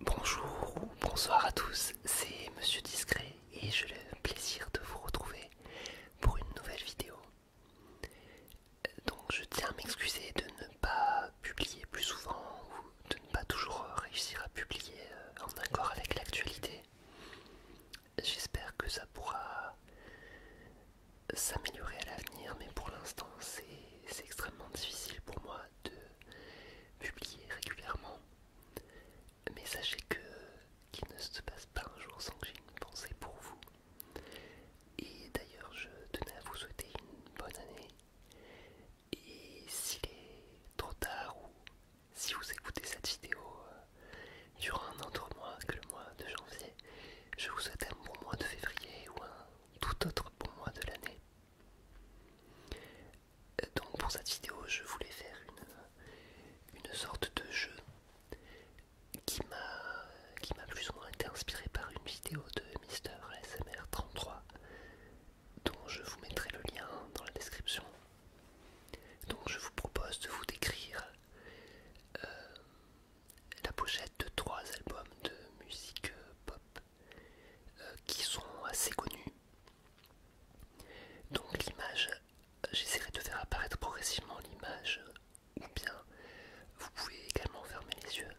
Bonjour ou bonsoir à tous, c'est Monsieur Discret et j'ai le plaisir de vous retrouver pour une nouvelle vidéo. Donc je tiens à m'excuser de ne pas publier plus souvent ou de ne pas toujours réussir à publier euh, en accord avec l'actualité. J'espère que ça pourra s'améliorer à l'avenir mais pour l'instant c'est extrêmement difficile pour moi de publier régulièrement. Mais sachez que qu'il ne se passe pas un jour sans que j'ai une pensée pour vous. Et d'ailleurs, je tenais à vous souhaiter une bonne année. Et s'il est trop tard ou si vous écoutez cette vidéo euh, durant un autre mois que le mois de janvier, je vous souhaite un bon mois de février ou un tout autre bon mois de l'année. Donc pour cette vidéo, je voulais faire une, sorte de jeu qui m'a plus ou moins été inspiré par une vidéo de Mister SMR33 dont je vous mettrai le lien dans la description. Donc je vous propose de vous décrire euh, la pochette de trois albums de musique euh, pop euh, qui sont assez connus. Donc l'image, j'essaierai de faire apparaître progressivement l'image, ou bien vous pouvez également fermer les yeux.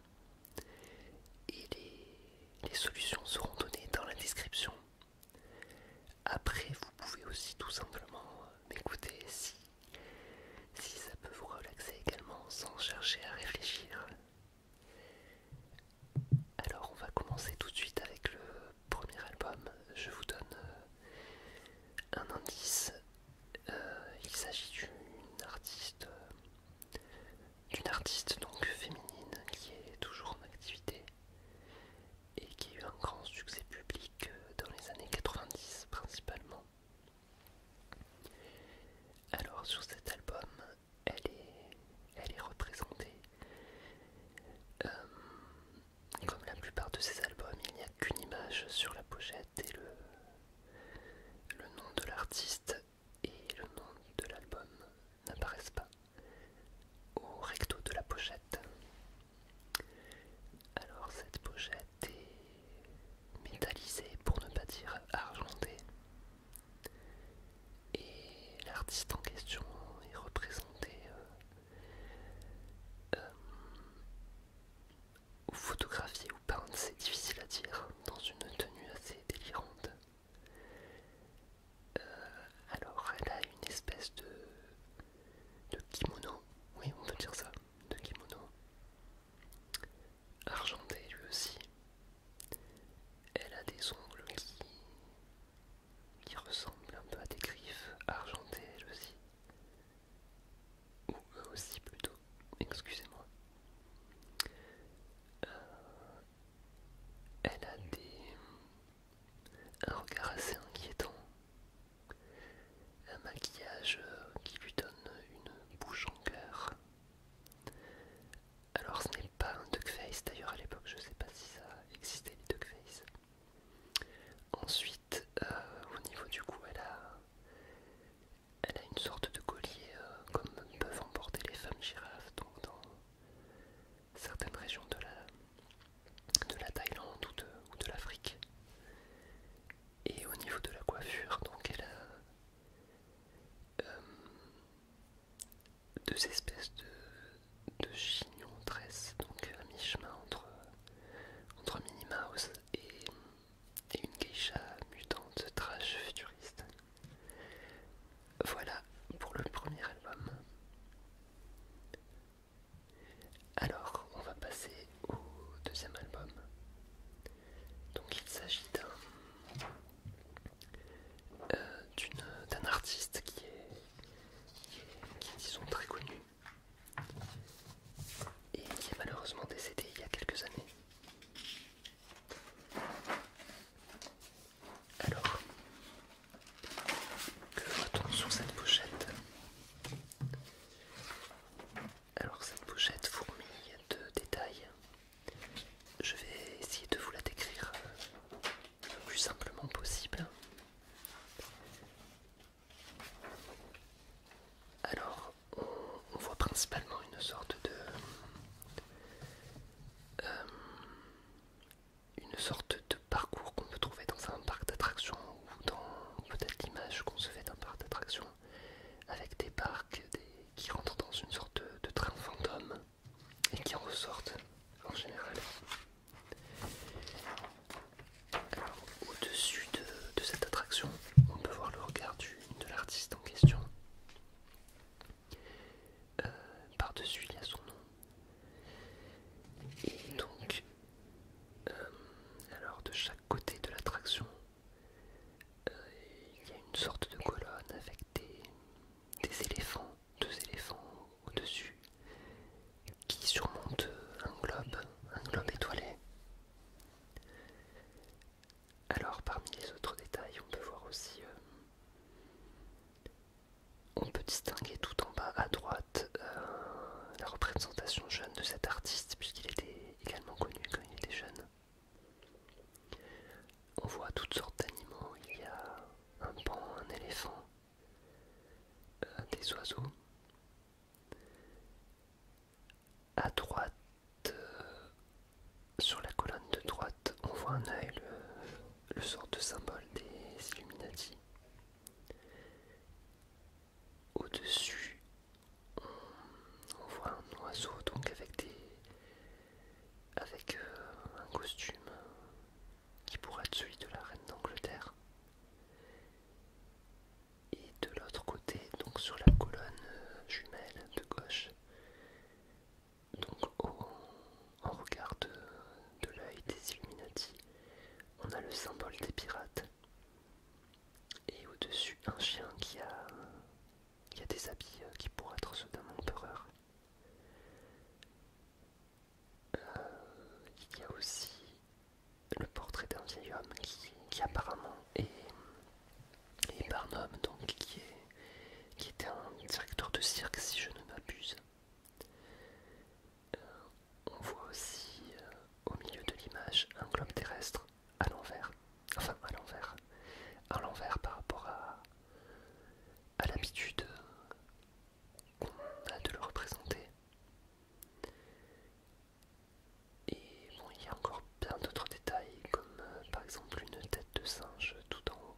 Et les, les solutions seront données dans la description. Après, vous pouvez aussi tout simplement m'écouter si si ça peut vous relaxer également sans chercher à réfléchir. Alors on va commencer tout de suite avec le premier album. Je vous donne euh, un indice. Euh, il s'agit d'une artiste euh, artiste donc féminine qui est toujours en activité et qui a eu un grand succès public dans les années 90 principalement. Alors sur cet album, elle est, elle est représentée. Euh, comme la plupart de ses albums, il n'y a qu'une image sur la pochette et le, le nom de l'artiste et le nom de l'album n'apparaissent pas au recto de la pochette. Alors cette pochette des métallisé pour ne pas dire argenté. Et l'artiste en question est représenté euh, euh, ou photographié ou peinte c'est difficile à dire, dans une tenue assez délirante. Euh, alors elle a une espèce de, de kimono, oui on peut dire ça, de kimono, argenté lui aussi. Elle a des ongles qui, ressemblent un peu à des griffes argentées elle aussi. Ou eux aussi plutôt, excusez-moi. Euh, elle a des, un regard assez inquiétant, un maquillage euh, qui lui donne une bouche en cœur. Alors ce n'est pas un face, d'ailleurs à l'époque je ne sais pas si ça existait les face. Ensuite, euh, au niveau du cou, elle a, elle a une sorte de collier euh, comme peuvent emporter les femmes girafes dans certaines régions de la, de la Thaïlande ou de, l'Afrique. Et au niveau de la coiffure, donc elle a euh, deux espèces de, chignons tresses, donc à mi-chemin entre, entre Minnie Mouse et, et une geisha mutante trash futuriste. Voilà pour le premier album. Alors, on va passer au deuxième album. Donc, il s'agit d'un euh, artiste qui est, qui très connu et qui est malheureusement décédé il y a quelques années. Alors, que voit sur cette pochette Alors cette pochette fourmille de détails. Je vais essayer de vous la décrire euh, le plus simplement possible. Alors, on, voit principalement une sorte de... Euh, une sorte de parcours qu'on peut trouver dans un parc d'attractions ou dans peut-être l'image qu'on se fait d'un parc d'attractions avec des parcs qui rentrent dans une sorte de, train fantôme et qui en ressortent en général. Au-dessus de, cette attraction, on peut voir le regard de l'artiste en question. Euh, par-dessus il y a son nom. Et donc, euh, alors de chaque côté de l'attraction, euh, il y a une sorte de colonne avec des, des éléphants, deux éléphants au-dessus, qui surmontent un globe, un globe étoilé. Alors parmi les autres détails, on peut voir aussi on peut distinguer tout en bas à droite euh, la représentation jeune de cet artiste, puisqu'il était également connu quand il était jeune. On voit toutes sortes d'animaux, il y a un pan, un éléphant, euh, des oiseaux. À droite, euh, sur la colonne de droite, on voit un œil, le sort de symbole des Illuminati. Au-dessus, on, voit un oiseau donc avec des avec euh, un costume qui pourrait être celui de la reine d'Angleterre. Et de l'autre côté, donc sur la colonne euh, jumelle de gauche, donc en regard de, l'œil des Illuminati, on a le symbole des pirates et au-dessus un chien qui a, des habits euh, qui pourraient être ceux d'un empereur. Euh, il y a aussi le portrait d'un vieil homme qui apparemment est, et Barnum, donc, qui, était un directeur de cirque, si je ne m'abuse. Euh, on voit aussi euh, au milieu de l'image un globe terrestre à l'envers, enfin à l'envers, à l'envers par rapport à, à l'habitude euh, qu'on a de le représenter. Et bon, il y a encore d'autres détails, comme euh, par exemple une tête de singe tout en haut.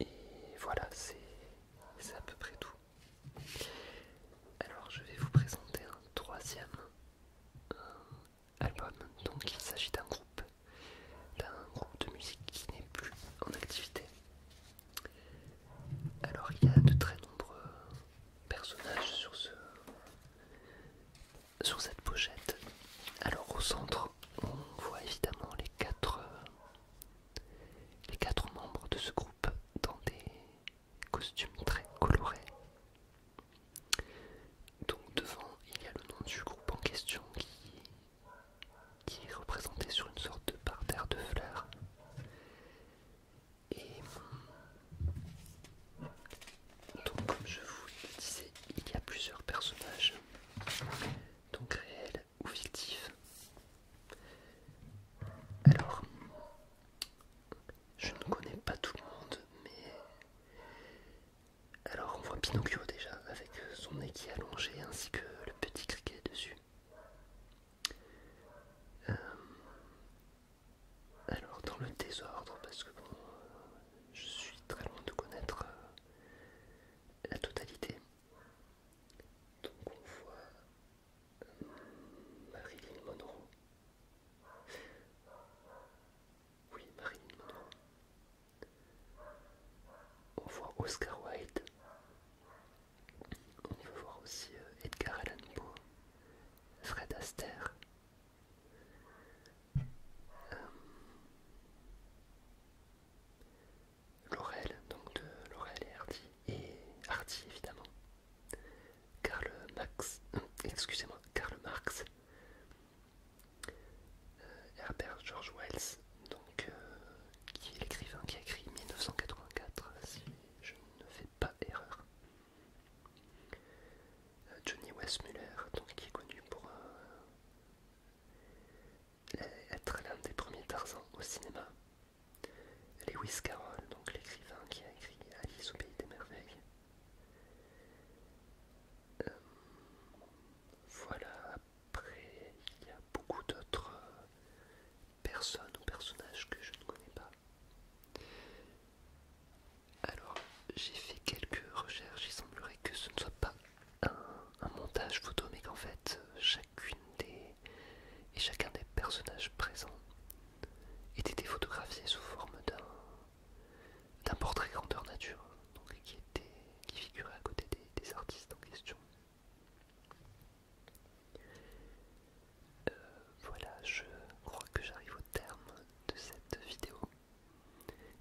Et voilà, c'est à peu près tout. Alors je vais vous présenter un troisième euh, album. Donc il s'agit d'un groupe, d'un groupe de musique qui n'est plus en activité. Alors il y a de très nombreux personnages sur ce, sur cette pochette. Alors au centre, on voit évidemment les quatre, euh, les quatre membres de ce groupe dans des costumes très colorés. Donc devant, il y a le nom du groupe en question qui, qui est représenté sur une sorte de parterre de fleurs. Et donc comme je vous le disais, il y a plusieurs personnages, donc réels ou fictifs. Alors, je ne connais pas tout le monde, mais... Alors on voit Pinocchio déjà, avec son nez qui est allongé, ainsi que le petit criquet dessus. Euh, alors dans le désordre, parce que je suis très loin de connaître euh, la totalité. Donc on voit euh, Marilyn Monroe. Oui, Marilyn Monroe. On voit Oscar Wilde. On peut voir aussi euh, Edgar Allan Poe, Fred Astaire. Euh, Laurel, donc de et Hardy, et Hardy évidemment. Karl Marx, euh, excusez-moi, Karl Marx, Herbert George Wells, donc qui est l'écrivain qui a écrit 1984, je ne fais pas erreur. Euh, Johnny Westmuller, donc qui est connu pour euh, être l'un des premiers Tarzan au cinéma. Lewis Carroll, donc l'écrivain qui a écrit Alice au pays des merveilles. Euh, voilà, après il y a beaucoup d'autres personne ou personnage que je ne connais pas. Alors, j'ai fait quelques recherches, il semblerait que ce ne soit pas un, montage photo, mais qu'en fait, chacune des et chacun des personnages présents était été photographié sous forme d'un portrait grandeur nature, qui était qui figurait à côté des artistes en question. Euh, voilà, je crois que j'arrive au terme de cette vidéo.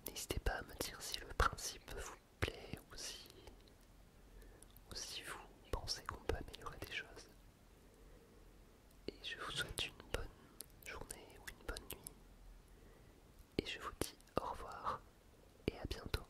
N'hésitez pas à me dire si le principe vous plaît ou si vous pensez qu'on peut améliorer des choses. Et je vous souhaite une bonne journée ou une bonne nuit. Et je vous dis au revoir et à bientôt.